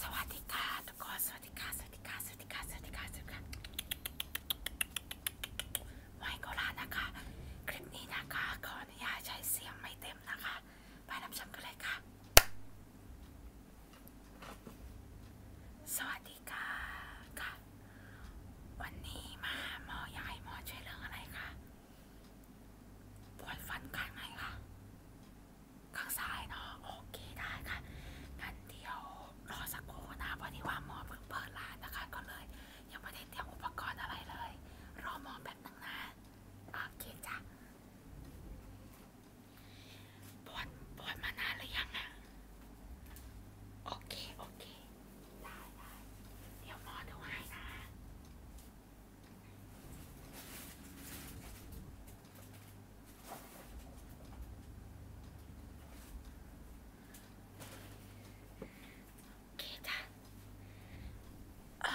สวัสดีค่ะทุกคนสวัสดีค่ะสวัสดีค่ะสวัสดีค่ะสวัสดีค่ะสวัสดีค่ะไมโคราชนะคะคลิปนี้นะคะขออนุญาตใช้เสียงไม่เต็มนะคะ ไปรับชมกันเลยค่ะ สวัสดีค่ะค่ะวันนี้มาหมออยากให้หมอช่วยเรื่องอะไรคะปวดฟันข้างไหนคะข้างซ้ายเนาะโอเคได้ค่ะงั้นเดี๋ยวรอสักครู่นะพอดีว่าหมอเพิ่งเปิดร้านนะคะ ก็เลยยังไม่ได้เตรียมอุปกรณ์อะไรเลย รอหมอแป๊บนึงนะโอเคจ้ะปวดปวดมานานหรือยังอะโอเค โอเค ได้ได้เดี๋ยวหมอดูให้นะโอเคจ้ะเอ่อ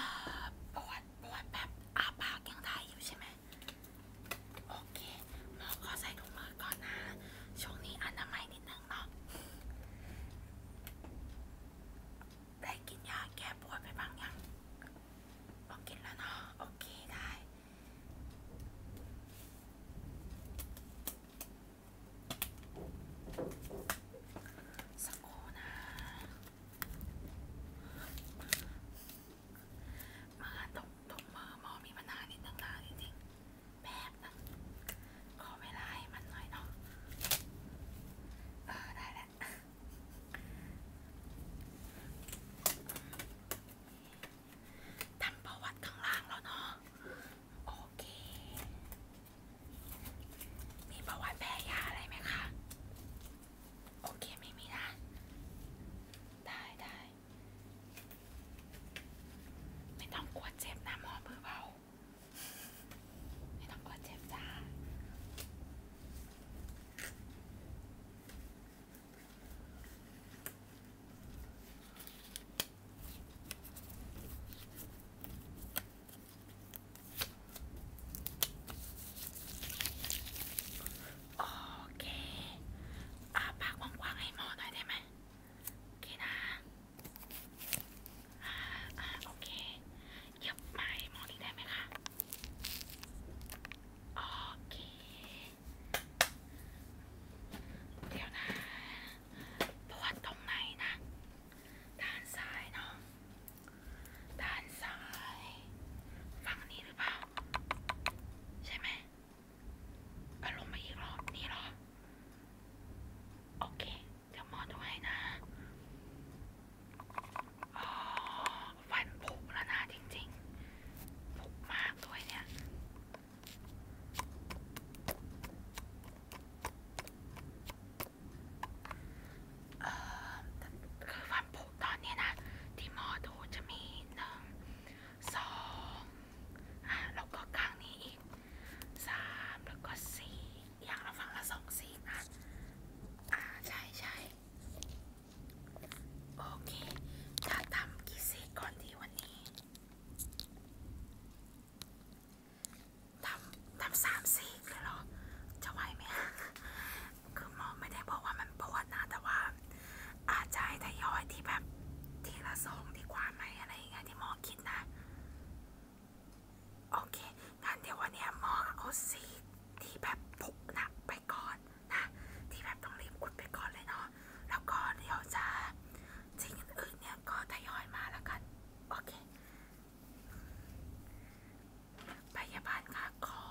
ปวดปวดแบบอาปากยังได้อยู่ใช่ไหม โอเคหมอขอใส่ถุงมือก่อนนะ ช่วงนี้อนามัยนิดนึงเนาะได้กินยาแก้ปวดไปบ้างยังพอกินแล้วเนาะโอเคได้สักโอนะมาตรงตรงมือหมอมีปัญหานิดนึงนะจริงๆแป๊บนึงขอเวลาให้มันหน่อยเนาะเออได้แล้วละทำประวัติข้างล่างแล้วเนาะโอเค มีประวัติแพ้ยาอะไรไหมคะ โอเคไม่มีนะ ได้ได้ ไม่ต้องกลัวเจ็บนะหมอเบอเบาให้น้องกอดเจ็บจ้าโอเคอาปากกว้างๆให้หมอหน่อยได้ไหมโอเคนะอ่าอ่าโอเคเย็บไม้หมอนี่ได้ไหมคะโอเค เดี๋ยวนะปวดตรงไหนนะ ด้านซ้ายเนาะด้านซ้ายฝั่งนี้หรือเปล่า ใช่ไหมอารมณ์มาอีกรอบนี่หรอ โอเคเดี๋ยวหมอดูให้นะอ๋อฟันผุแล้วนะจริงๆ ผุมากด้วยเนี่ยเออคือฟันผุตอนนี้นะ ที่หมอดูจะมีหนึ่งสองอ่ะแล้วก็ข้างนี้อีกสามแล้วก็สี่อย่างละฝั่งละสองซีกนะอ่าใช่ใช่โอเค จะทำกี่ซีกก่อนดีวันนี้ ทำทำสามซีกเลยเหรอ จะไหวไหมคือหมอไม่ได้บอกว่ามันปวดนะ แต่ว่าอาจจะให้ทยอยที่แบบทีละสองดีกว่าไหมอะไรอย่างเงี้ยที่หมอคิดนะโอเคงั้นเดี๋ยววันนี้หมอเอาสีที่แบบผุหนักไปก่อนนะ ที่แบบต้องรีบกุดไปก่อนเลยเนาะ แล้วก็เดี๋ยวจะสิ่งอื่นเนี่ยก็ทยอยมาแล้วกัน โอเคพยาบาลค่ะขอ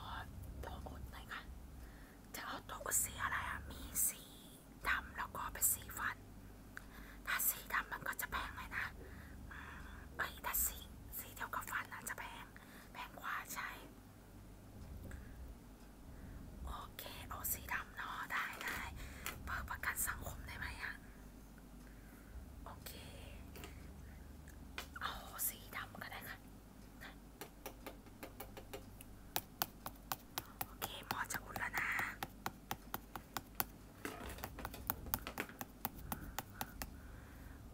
ตัวอุดหน่อยค่ะ จะเอาตัวอุดสีอะไรอะมีสีดำแล้วก็เป็นสีฟัน ถ้าสีดำมันก็จะแพงเลยนะเอ้ยถ้าสีสีเดียวกับฟันอาจจะแพงแพงกว่าใช่ โอเคเอาสีดำเนาะได้ได้ เปิดประกันสังคมได้ไหมอะโอเค เอาสีดำก็ได้ค่ะโอเค หมอจะอุ่นแล้วนะ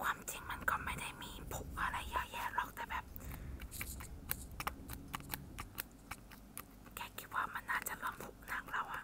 ความจริงมันก็ไม่ได้มีผุอะไรเยอะแยะหรอกแต่แบบ แกคิดว่ามันน่าจะเริ่มผุหนักแล้วอะ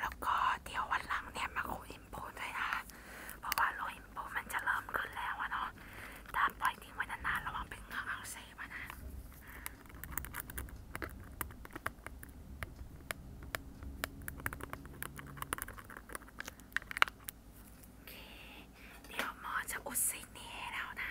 แล้วก็เดี๋ยววันหลังเนี่ยมาคุยอินโพด้วยนะเพราะว่าโลอินโพมันจะเริ่มขึ้นแล้วเนาะถ้าปล่อยทิ้งไว้นานๆระวังเป็นเงาอักเสบนะเดี๋ยวหมอจะอุดสิ่งนี้แล้วนะ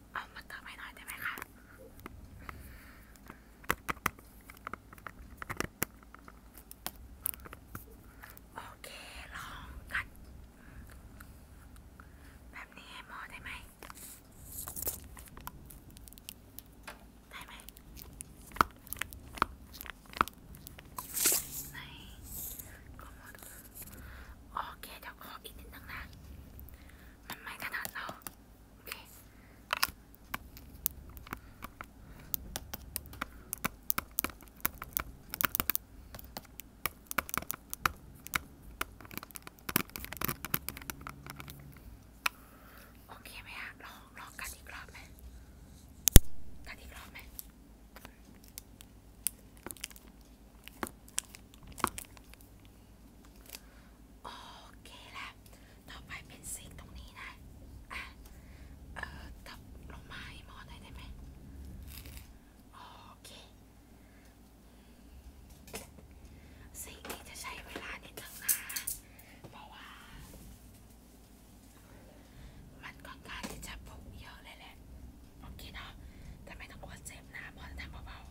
เอามาเติมให้หน่อยได้ไหมคะ โอเค ลองกัดแบบนี้ให้หมอได้ไหมได้ไหมไหนก็หมอดูโอเคเดี๋ยวขออีกนิดนึงนะมันไม่ถนัดเราโอเค โอเคไหมฮะลองลองกัดอีกรอบไหมกัดอีกรอบไหมโอเคแล้วต่อไปเป็นซิงตรงนี้นะอ่ะเอ่อตับลงมาให้หมอหน่อยได้ไหม โอเคสิ่งนี้จะใช้เวลานิดนึงนะเพราะว่า มันค่อนข้างที่จะผุเยอะเลยแหละโโอเคเนาะ แต่ไม่ต้องกลัวเจ็บนะ พอทำเบาๆ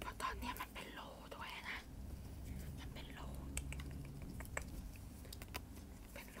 เพราะตอนเนี้ยมันเป็นโลด้วยนะ มันเป็นโลเป็นโล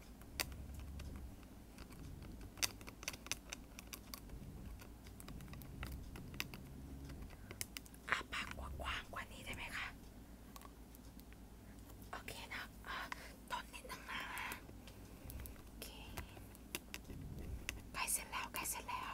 อาปากกว้างกว่านี้ได้ไหมคะโอเคนะตอนนิดนึงนะโอเคใกล้เสร็จแล้วใกล้เสร็จแล้ว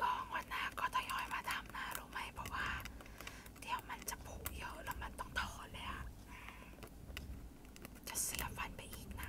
กองวันหน้าก็ทยอยมาทำนะรู้ไหมเพราะว่าเดี๋ยวมันจะผุเยอะแล้วมันต้องถอนเลยอะจะเสียฟันไปอีกนะ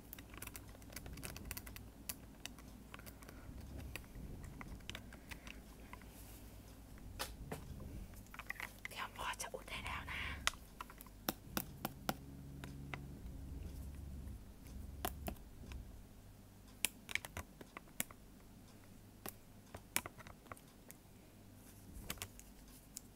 เดี๋ยวพอจะอุดได้แล้วนะ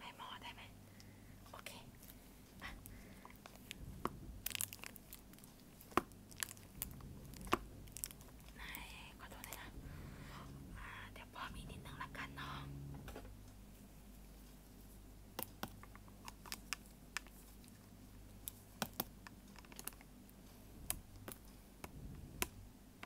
ให้หมอได้ไหมโอเคอ่ะไหนขอโทษนะคะอ่าเดี๋ยวพอมีนิดนึงละกันเนาะโ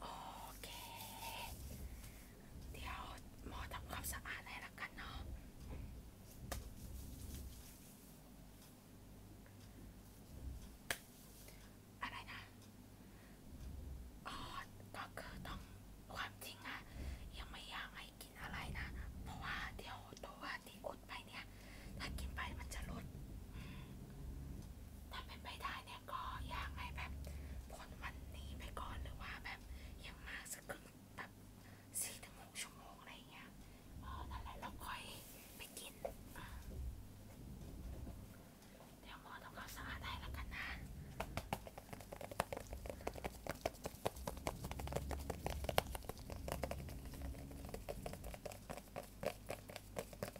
โอเค เดี๋ยวหมอทำความสะอาดให้ละกันเนาะอะไรนะอ๋อก็คือต้องความจริงอะยังไม่อยากให้กินอะไรนะ เพราะว่าเดี๋ยวตัวที่อุดไปเนี่ย ถ้ากินไปมันจะลดถ้าเป็นไปได้เนี่ยก็อยากให้แบบผลวันนี้ไปก่อนหรือว่าแบบยังมากสักครึ่งแบบสี่ถึงหกชั่วโมงอะไรเงี้ยเออนั่นแหละเราค่อยไปกิน เดี๋ยวหมอต้องเอาสะอาดให้แล้วกันนะเ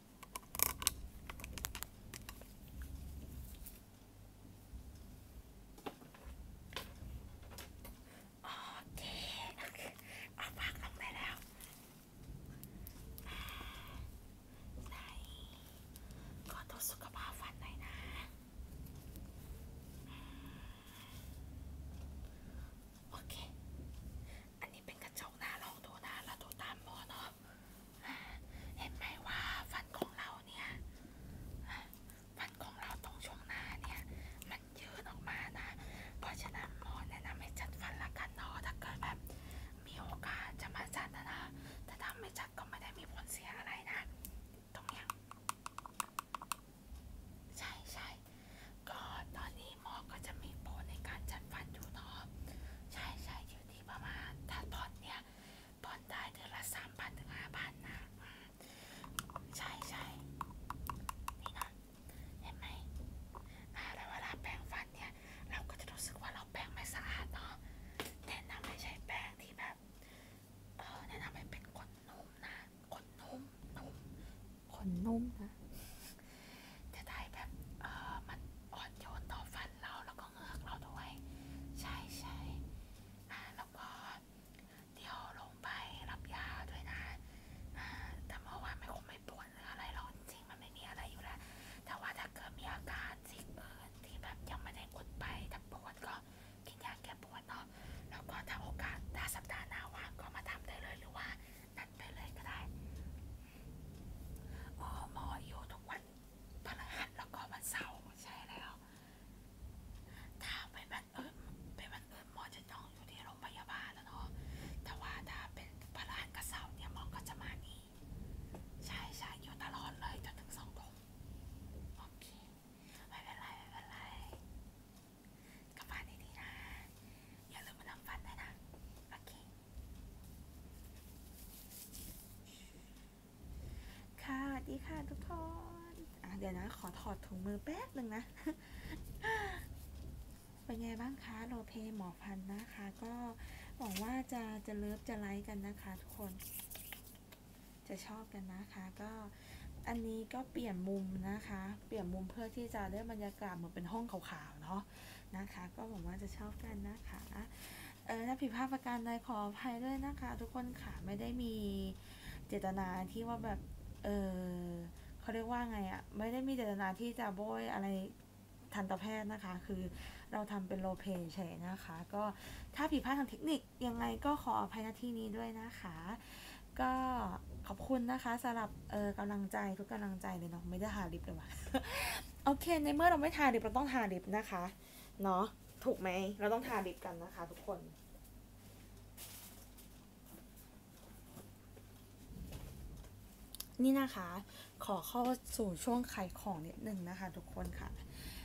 โอเคเอาปากลงไปแล้วไหนขอตัวสุขภาพฟันหน่อยนะ โอเคอันนี้เป็นกระจกนะลองดูนะเราดูตามหมอเนาะเห็นไหมว่าฟันของเราเนี่ยฟันของเราตรงช่วงหน้าเนี่ย มันยืนออกมานะ เพราะฉะนั้นหมอแนะนำให้จัดฟันละกันเนาะถ้าเกิดแบบมีโอกาสจะมาจัดนะนะ แต่ถ้าไม่จัดก็ไม่ได้มีผลเสียอะไรนะ ตรงเนี้ยใช่ใช่ก็ตอนนี้หมอก็จะมีโปรในการจัดฟันอยู่เนาะใช่ใช่อยู่ที่ประมาณ ถ้าผ่อนเนี่ยผ่อนได้เดือนละสามพันถึงห้าพันนะใช่ใช่นี่นะเห็นไหมแล้วเวลาแปรงฟันเนี่ยเราก็จะรู้สึกว่าเราแปรงไม่สะอาดเนาะแนะนำให้ใช้แปรงที่แบบเออแนะนำให้เป็นขนนุ่มนะขนนุ่มนุ่มขนนุ่มนะ จะได้แบบเออมันอ่อนโยนต่อฟันเราแล้วก็เงือกเราด้วย ใช่ใช่แล้วก็เดี๋ยวลงไปรับยาด้วยนะ แต่เมื่อวานไม่คงไม่ปวดหรืออะไรหรอกจริงมันไม่มีอะไรอยู่แล้ว แต่ว่าถ้าเกิดมีอาการสิ่งอื่นที่แบบยังไม่ได้กดไป ถ้าปวดก็ กินยาแก้ปวดเนาะแล้วก็ถ้าโอกาสถ้าสัปดาห์หน้าว่างก็มาทำได้เลยหรือว่านั้นไปเลยก็ได้ อ๋อหมอ อยู่ทุกวันพฤหัสแล้วก็วันเสาร์ใช่แล้ว ถ้าไปบันเอิญไปบันเอิญหมอจะต้องอยู่ที่โรงพยาบาลแล้วเนาะ แต่ว่าถ้าเป็นพฤหัสกับเสาร์เนี่ยหมอ ก็จะมานี่ ใช่ใช่อยู่ตลอดเลยจนถึงสองทุ่มโอเค ไม่เป็นไรไม่เป็นไรกับันดีๆนะ อย่าลืมมาทำฟันนะ โอเค ค่ะสวัค่ะทุกคน เดี๋ยวนะ ขอถอดถุงมือแป๊บหนึ่งนะ เป็นไงบ้างคะโรเพหมอพันนะคะ ก็หวังว่าจะจะเลิฟจะไลค์กันนะคะ ทุกคน จะชอบกันนะคะ ก็อันนี้ก็เปลี่ยนมุมนะคะ เปลี่ยนมุมเพื่อที่จะได้บรรยาากศยากาศเหมือนเป็นห้องขาวๆ เนาะนะคะ ก็หวังว่าจะชอบกันนะคะเออถ้าผิดพลาดประการใดขออภัยด้วยนะคะ ทุกคนค่ะไม่ได้มีเจตนาที่ว่าแบบเออเขาเรียกว่าไงอะ่ะไม่ได้มีเจตนาที่จะโบยอะไรทันตแพทย์นะคะ คือเราทำเป็นโลเพย์เฉยนะคะ ก็ถ้าผิดพลาดทางเทคนิคยังไงก็ขออภัยในที่นี้ด้วยนะคะก็ขอบคุณนะคะสำหรับเออกำลังใจทุกกำลังใจเลยเนาะไม่ได้ทาลิปเลยว่ะโอเคในเมื่อเราไม่ทาลิปเราต้องทาลิปนะคะเนาะถูกไหมเราต้องทาลิปกันนะคะ ทุกคน นี่นะคะ ขอเข้าสู่ช่วงขายของนิดนึงนะคะ ทุกคนค่ะ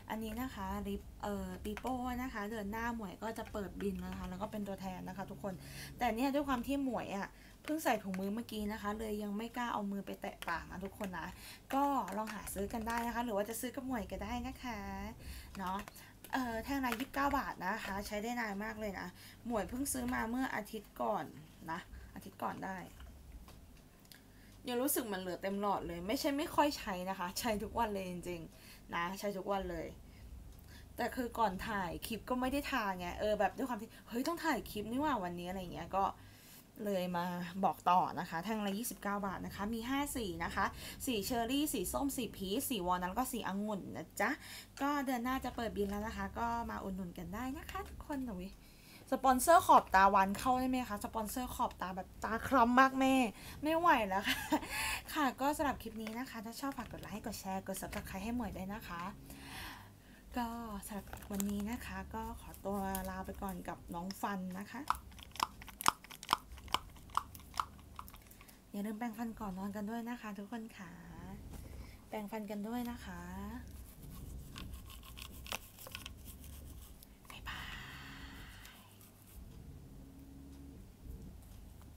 อันนี้นะคะริปเอ่อปีโป้นะคะเดือนหน้าหมวยก็จะเปิดบินนะคะ แล้วก็เป็นตัวแทนนะคะทุกคนแต่เนี่ยด้วยความที่หมวยอะ่ะ เพิ่งใส่ถุงมือเมื่อกี้นะคะ เลยยังไม่กล้าเอามือไปแตะปากนะทุกคนนะ ก็ลองหาซื้อกันได้นะคะ หรือว่าจะซื้อกับหมวยก็ได้นะคะ เนาะ เอ่อแท่งละยี่สิบเก้าบาทนะคะ ใช้ได้นานมากเลยนะหมวยเพิ่งซื้อมาเมื่ออาทิตย์ก่อนนะ อาทิตย์ก่อนได้ ยังรู้สึกมันเหลือเต็มหลอดเลย ไม่ใช่ไม่ค่อยใช้นะคะ ใช้ทุกวันเลยจริงๆนะใช้ทุกวันเลย แต่คือก่อนถ่ายคลิปก็ไม่ได้ทาไงเออ แบบด้วยความที่ เฮ้ย ต้องถ่ายคลิปนี่ว่าวันนี้อะไรเงี้ย ก็เลยมาบอกต่อนะคะแท่งละยี่สิบเก้าบาทนะคะ มีห้าสีนะคะสีเชอร์รี่ สี ส้มสีพีชสีวอลนั้นก็สีองุ่นนะจ๊ะ ก็เดือนหน้าจะเปิดบินแล้วนะคะ ก็มาอุดหนุนกันได้นะคะทุกคนหนุยสปอนเซอร์ขอบตาวันเข้าได้ไหมคะสปอนเซอร์ขอบตาแบบตาคล้ำมากแม่ ไม่ไหวแล้ว ค่ะค่ะก็สำหรับคลิปนี้นะคะถ้าชอบฝากกดไลค์ กดแชร์ กด subscribe ให้หมวยด้วยนะคะ ก็สำหรับวันนี้นะคะก็ขอตัวลาไปก่อนกับน้องฟันนะคะอย่าลืมแปรงฟันก่อนนอนกันด้วยนะคะ ทุกคนค่ะแปรงฟันกันด้วยนะคะบบ๊าายย